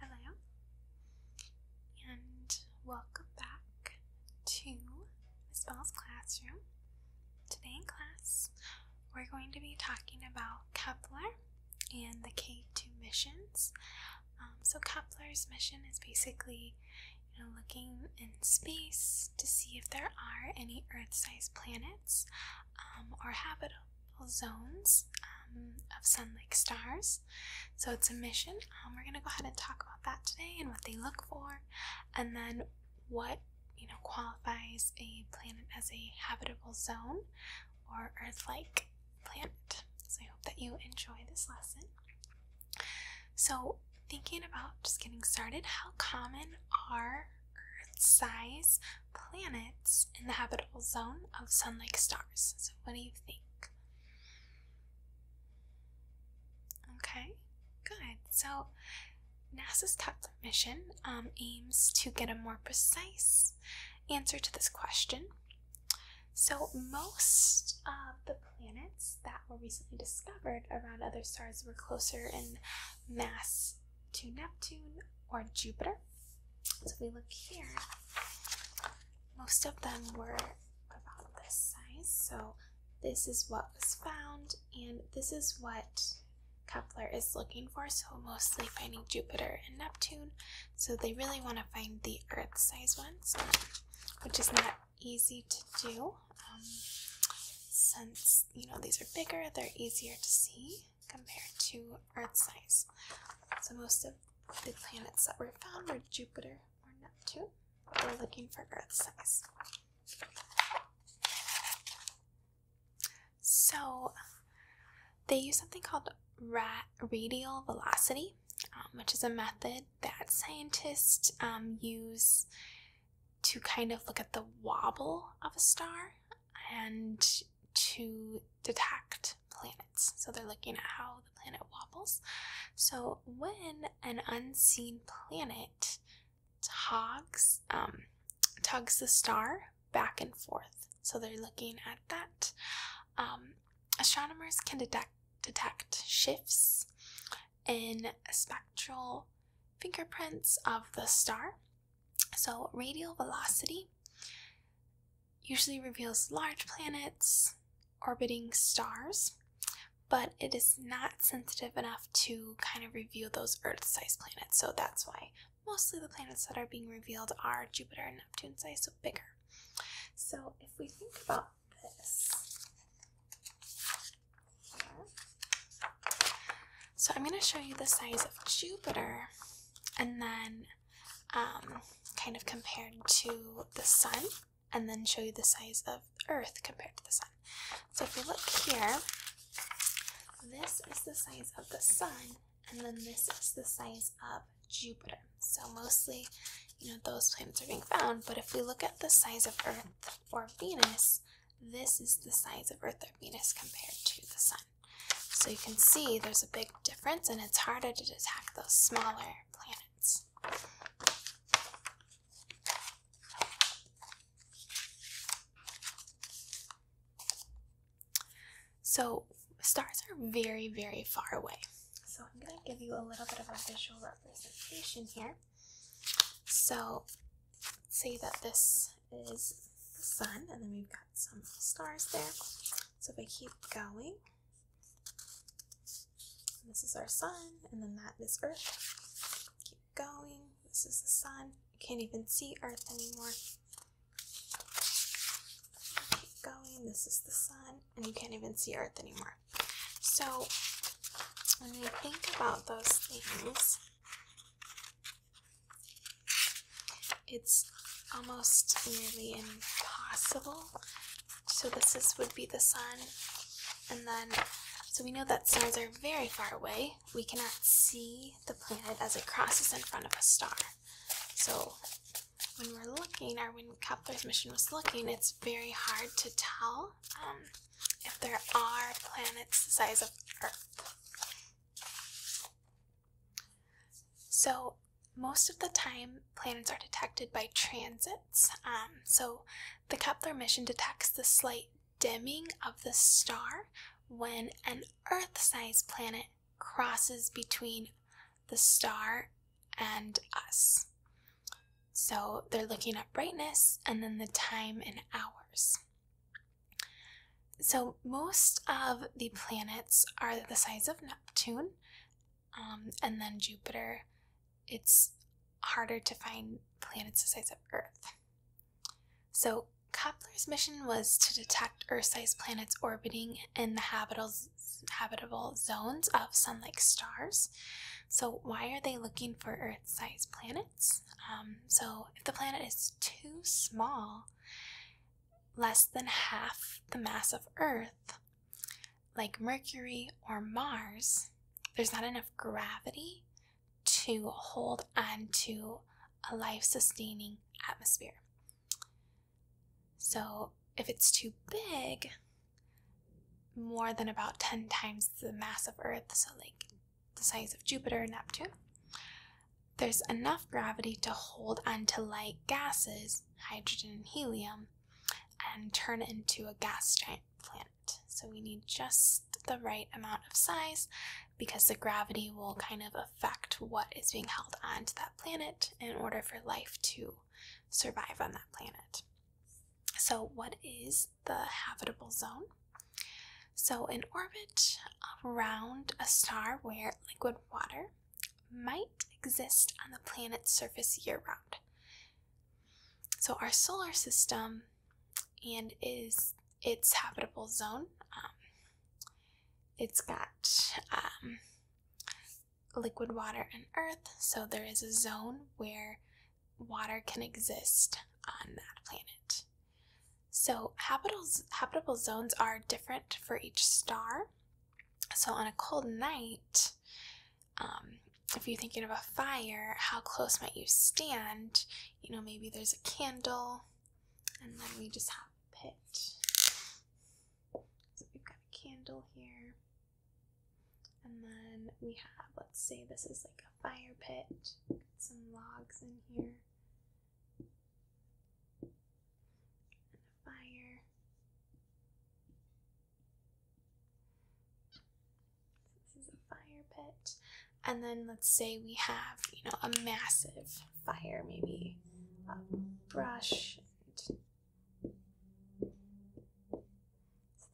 Hello, and welcome back to Miss Bell's classroom. Today in class, we're going to be talking about Kepler and the K2 missions. Um, so Kepler's mission is basically you know, looking in space to see if there are any Earth-sized planets um, or habitable zones um, of Sun like stars. So it's a mission. Um, we're going to go ahead and talk about that today and what they look for, and then what you know qualifies a planet as a habitable zone or Earth-like planet. So I hope that you enjoy this lesson. So thinking about just getting started, how common are Earth size planets in the habitable zone of sun like stars. So, what do you think? Okay, good. So, NASA's Kepler mission um, aims to get a more precise answer to this question. So, most of the planets that were recently discovered around other stars were closer in mass to Neptune or Jupiter. So we look here, most of them were about this size. So this is what was found, and this is what Kepler is looking for. So mostly finding Jupiter and Neptune. So they really want to find the Earth size ones, which is not easy to do. Um, since you know these are bigger, they're easier to see compared to Earth size. So, most of the planets that were found were Jupiter or Neptune. We're looking for Earth size. So, they use something called radial velocity, um, which is a method that scientists um, use to kind of look at the wobble of a star and to detect planets. So they're looking at how the planet wobbles. So when an unseen planet togs, um, tugs the star back and forth, so they're looking at that. Um, astronomers can detect detect shifts in spectral fingerprints of the star. So radial velocity usually reveals large planets orbiting stars, but it is not sensitive enough to kind of reveal those Earth sized planets, so that's why mostly the planets that are being revealed are Jupiter and Neptune sized, so bigger. So if we think about this, so I'm going to show you the size of Jupiter and then um, kind of compared to the sun, and then show you the size of Earth compared to the sun. So if we look here, this is the size of the sun, and then this is the size of Jupiter. So mostly, you know, those planets are being found. But if we look at the size of Earth or Venus, this is the size of Earth or Venus compared to the sun. So you can see there's a big difference, and it's harder to detect those smaller planets. So, stars are very, very far away. So, I'm going to give you a little bit of a visual representation here. So, say that this is the sun, and then we've got some stars there. So, if I keep going, this is our sun, and then that is Earth. Keep going. This is the sun. You can't even see Earth anymore. Keep going. This is the sun, and you can't even see Earth anymore. So, when we think about those things, it's almost nearly impossible. So this is would be the sun, and then so we know that stars are very far away. We cannot see the planet as it crosses in front of a star. So when we're looking, our when Kepler's mission was looking, it's very hard to tell um, if there are planets the size of Earth. So, most of the time, planets are detected by transits. Um, so, the Kepler mission detects the slight dimming of the star when an Earth sized planet crosses between the star and us. So, they're looking at brightness and then the time in hours. So, most of the planets are the size of Neptune um, and then Jupiter, it's harder to find planets the size of Earth. So, Kepler's mission was to detect Earth sized planets orbiting in the habitable, habitable zones of Sun like stars. So, why are they looking for Earth sized planets? Um, so, if the planet is too small, less than half the mass of Earth, like Mercury or Mars, there's not enough gravity to hold on to a life sustaining atmosphere. So, if it's too big, more than about 10 times the mass of Earth, so like the size of Jupiter and Neptune, there's enough gravity to hold onto light gases, hydrogen and helium, and turn it into a gas giant planet. So we need just the right amount of size because the gravity will kind of affect what is being held onto that planet in order for life to survive on that planet. So, what is the habitable zone? So, an orbit around a star where liquid water might exist on the planet's surface year round. So our solar system and is its habitable zone. Um, it's got um, liquid water and earth, so there is a zone where water can exist on that planet. So habitable habitable zones are different for each star. So, on a cold night, um, if you're thinking of a fire, how close might you stand? You know, maybe there's a candle, and then we just have pit. So, we've got a candle here, and then we have, let's say, this is like a fire pit, some logs in here and a fire. So this is a fire pit. And then let's say we have, you know, a massive fire, maybe a brush. So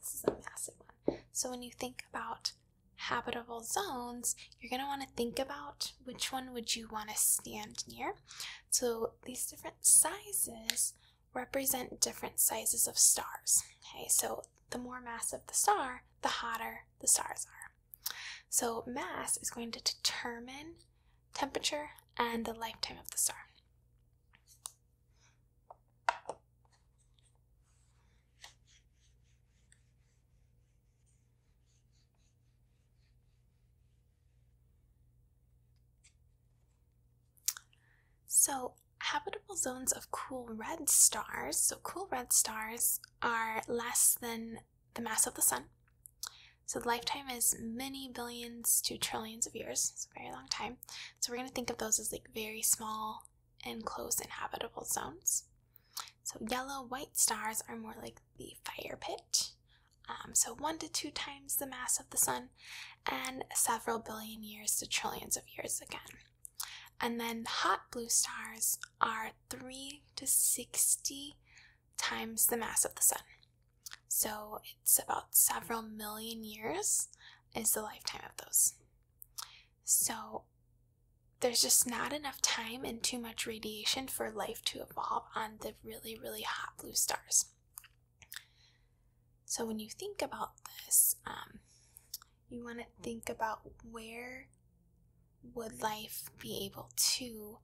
this is a massive one. So when you think about habitable zones, you're going to want to think about which one would you want to stand near. So these different sizes represent different sizes of stars. Okay, so the more mass of the star, the hotter the stars are. So mass is going to determine temperature and the lifetime of the star. So, habitable zones of cool red stars. So, cool red stars are less than the mass of the sun. So, the lifetime is many billions to trillions of years. It's a very long time. So, we're going to think of those as like very small and close inhabitable zones. So, yellow white stars are more like the fire pit. Um, so one to two times the mass of the sun, and several billion years to trillions of years again. And then hot blue stars are 3 to 60 times the mass of the sun. So it's about several million years is the lifetime of those. So there's just not enough time and too much radiation for life to evolve on the really, really hot blue stars. So, when you think about this, um, you want to think about where would life be able to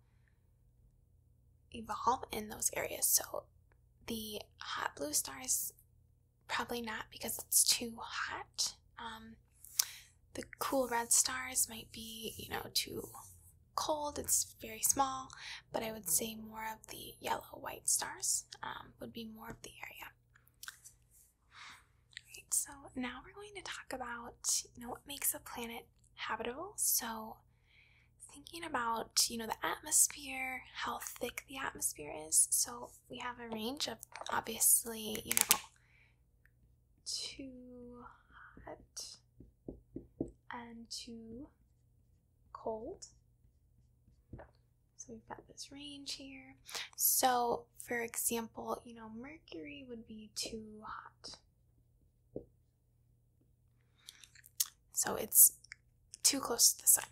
evolve in those areas. So, the hot blue stars probably not because it's too hot. Um, the cool red stars might be, you know, too cold, it's very small, but I would say more of the yellow white stars um, would be more of the area. Right, so now we're going to talk about you know what makes a planet habitable. So thinking about you know the atmosphere, how thick the atmosphere is. So we have a range of obviously you know too hot and too cold. So we've got this range here. So, for example, you know, mercury would be too hot. So it's too close to the sun.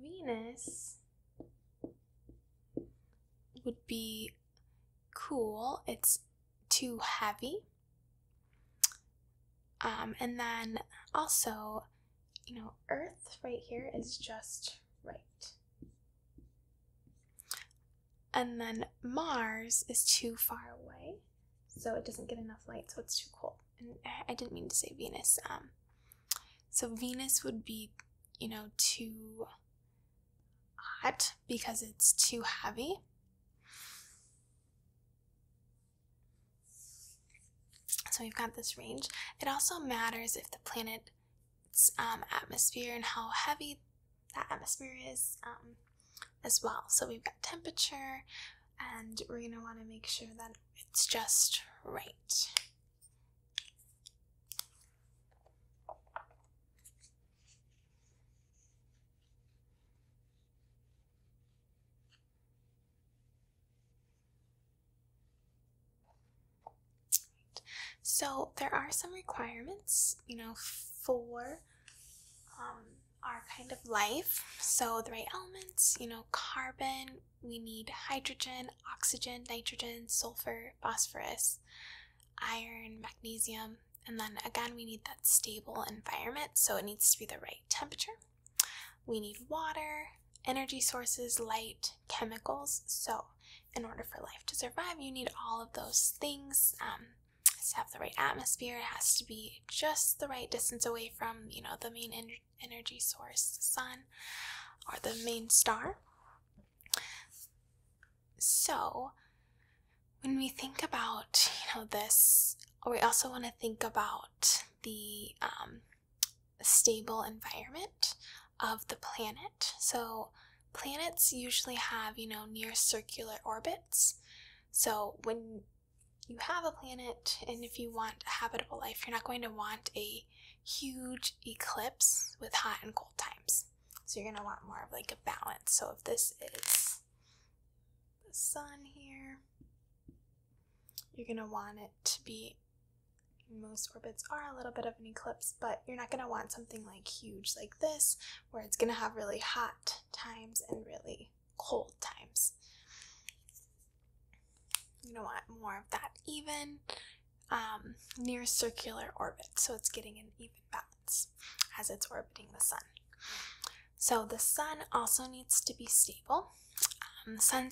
Venus would be cool. It's too heavy. Um, and then also, you know, Earth right here is just right. And then Mars is too far away, so it doesn't get enough light, so it's too cold. I didn't mean to say Venus. Um, so Venus would be, you know, too hot because it's too heavy. So we've got this range. It also matters if the planet's um, atmosphere and how heavy that atmosphere is um, as well. So we've got temperature, and we're going to want to make sure that it's just right. So there are some requirements, you know, for um, our kind of life. So the right elements, you know, carbon, we need hydrogen, oxygen, nitrogen, sulfur, phosphorus, iron, magnesium, and then again we need that stable environment, so it needs to be the right temperature. We need water, energy sources, light, chemicals. So, in order for life to survive, you need all of those things. Um, to have the right atmosphere. It has to be just the right distance away from, you know, the main energy source, the sun, or the main star. So, when we think about, you know, this, we also want to think about the um, stable environment of the planet. So, planets usually have, you know, near circular orbits. So, when you have a planet and if you want a habitable life, you're not going to want a huge eclipse with hot and cold times. So, you're going to want more of like a balance. So, if this is the sun here. You're going to want it to be, most orbits are a little bit of an eclipse, but you're not going to want something like huge like this, where it's going to have really hot times and really cold times. You don't want more of that even um, near circular orbit, so it's getting an even balance as it's orbiting the sun. So the sun also needs to be stable. Um, sun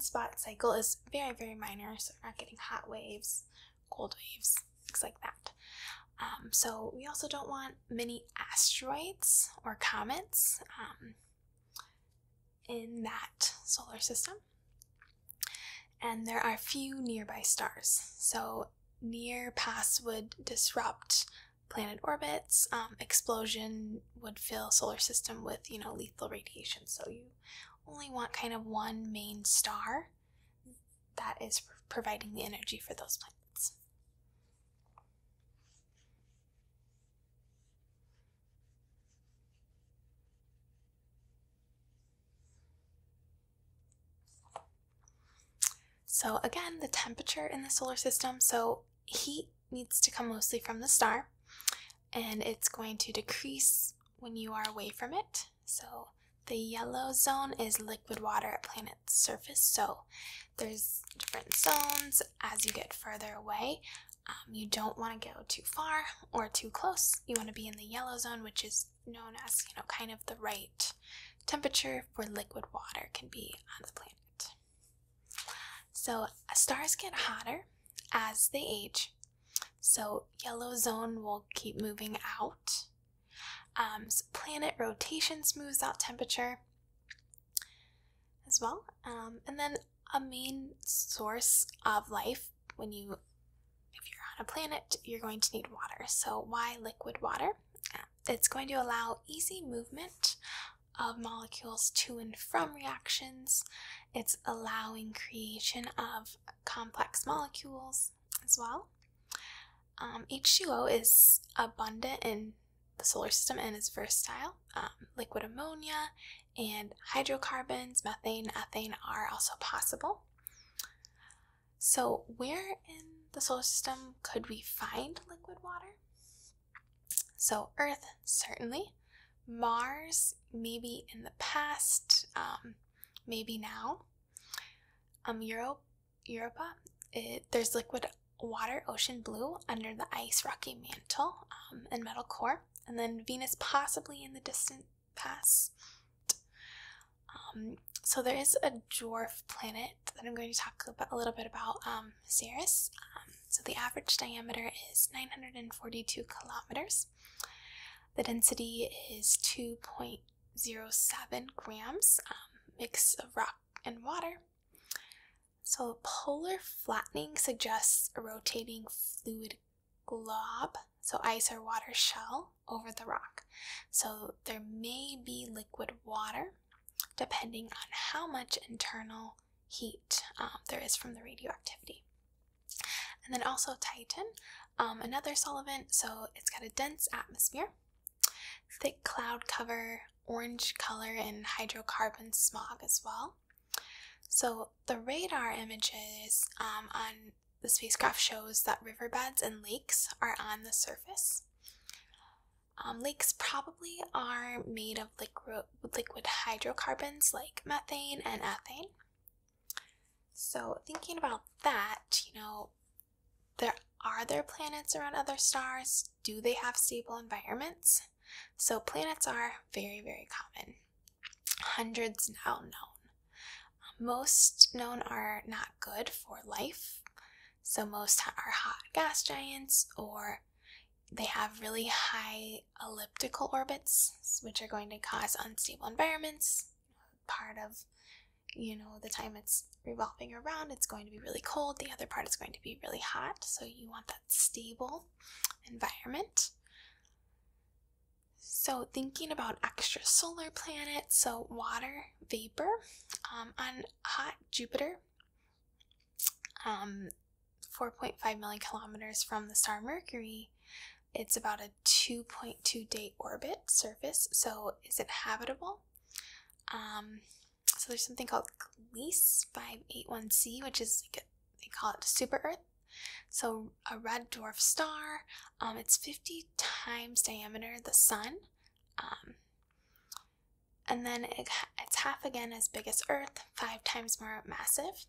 spot cycle is very, very minor, so we're not getting hot waves, cold waves, things like that. Um, so we also don't want many asteroids or comets um, in that solar system. And there are few nearby stars, so near pass would disrupt planet orbits, um, explosion would fill solar system with, you know, lethal radiation. So you only want kind of one main star that is providing the energy for those planets. So again, the temperature in the solar system. So heat needs to come mostly from the star and it's going to decrease when you are away from it. So the yellow zone is liquid water at planet's surface. So there's different zones as you get further away. Um, you don't want to go too far or too close. You want to be in the yellow zone, which is known as, you know, kind of the right temperature for liquid water can be on the planet. So stars get hotter as they age. So yellow zone will keep moving out. Um, planet rotation smooths out temperature as well. Um, and then a main source of life when you if you're on a planet you're going to need water so why liquid water uh, it's going to allow easy movement of molecules to and from reactions. It's allowing creation of complex molecules as well. Um, H2O is abundant in the solar system and is versatile. Um, liquid ammonia and hydrocarbons, methane, ethane are also possible. So, where in the solar system could we find liquid water? So, Earth, certainly. Mars, maybe in the past, um, maybe now. Um, Europa, there's liquid water, ocean blue, under the ice rocky mantle um, and metal core. And then Venus, possibly in the distant past. Um, so there is a dwarf planet that I'm going to talk a little bit about, Ceres. So the average diameter is 942 kilometers. The density is 2.07 grams, um, mix of rock and water. So polar flattening suggests a rotating fluid glob, so ice or water shell, over the rock. So there may be liquid water, depending on how much internal heat um, there is from the radioactivity. And then also Titan, um, another solvent, so it's got a dense atmosphere, thick cloud cover, orange color, and hydrocarbon smog as well. So the radar images um, on the spacecraft shows that riverbeds and lakes are on the surface. Um, lakes probably are made of liquid liquid hydrocarbons like methane and ethane. So thinking about that, you know, there are there planets around other stars? Do they have stable environments? So planets are very very common. Hundreds now known. Most known are not good for life. So most are hot gas giants or they have really high elliptical orbits, which are going to cause unstable environments. Part of, you know, the time it's revolving around, it's going to be really cold. The other part is going to be really hot. So you want that stable environment. So thinking about extrasolar planets, so water vapor um, on hot Jupiter um, 4.5 million kilometers from the star Mercury, it's about a 2.2 day orbit surface. So, is it habitable? Um, so, there's something called GLEES 581c, which is like they call it super Earth. So, a red dwarf star. Um, it's 50 times diameter the sun. Um, and then it's half again as big as Earth, five times more massive.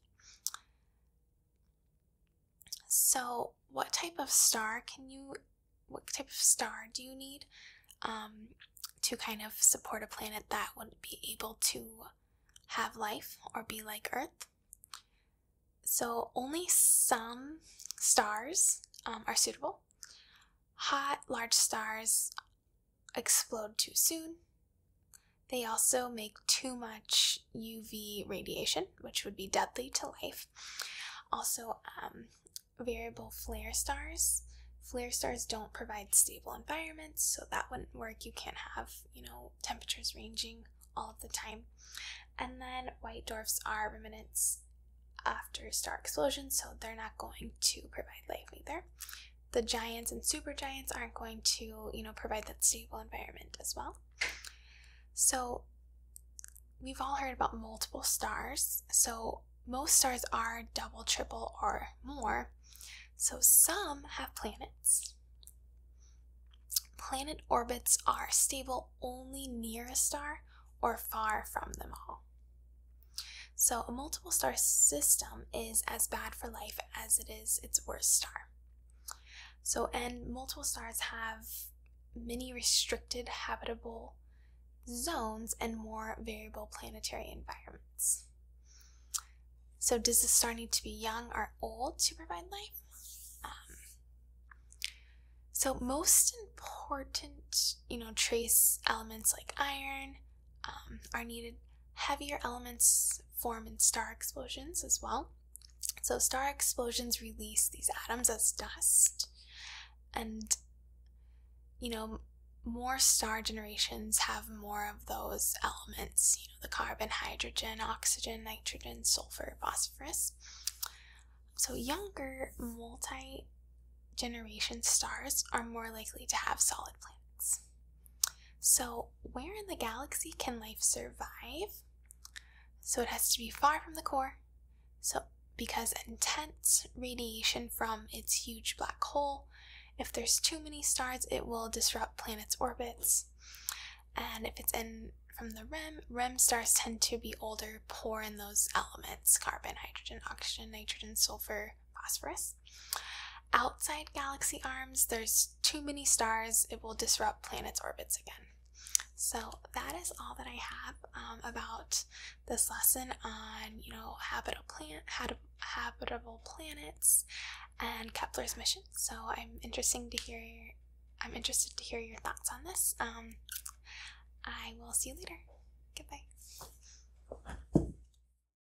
So, what type of star can you? What type of star do you need um, to kind of support a planet that would be able to have life or be like Earth? So, only some stars um, are suitable. Hot, large stars explode too soon. They also make too much UV radiation, which would be deadly to life. Also, um, variable flare stars. Flare stars don't provide stable environments, so that wouldn't work. You can't have, you know, temperatures ranging all of the time. And then white dwarfs are remnants after star explosions, so they're not going to provide life either the giants and supergiants aren't going to, you know, provide that stable environment as well. So we've all heard about multiple stars. So most stars are double, triple, or more. So some have planets. Planet orbits are stable only near a star or far from them all. So, a multiple star system is as bad for life as it is its worst star. So, and multiple stars have many restricted habitable zones and more variable planetary environments. So, does the star need to be young or old to provide life? Um, so, most important, you know, trace elements like iron, um, are needed heavier elements form in star explosions as well. So, star explosions release these atoms as dust, and you know, more star generations have more of those elements you know, the carbon, hydrogen, oxygen, nitrogen, sulfur, phosphorus. So, younger multi generation stars are more likely to have solid planets. So, where in the galaxy can life survive? So, it has to be far from the core. So, because intense radiation from its huge black hole, if there's too many stars, it will disrupt planets' orbits. And if it's in from the REM, REM stars tend to be older, poor in those elements carbon, hydrogen, oxygen, nitrogen, sulfur, phosphorus. Outside galaxy arms, there's too many stars, it will disrupt planets' orbits again. So that is all that I have um, about this lesson on, you know, habitable planet, habitable planets, and Kepler's mission. So I'm interesting to hear. Your, I'm interested to hear your thoughts on this. Um, I will see you later. Goodbye.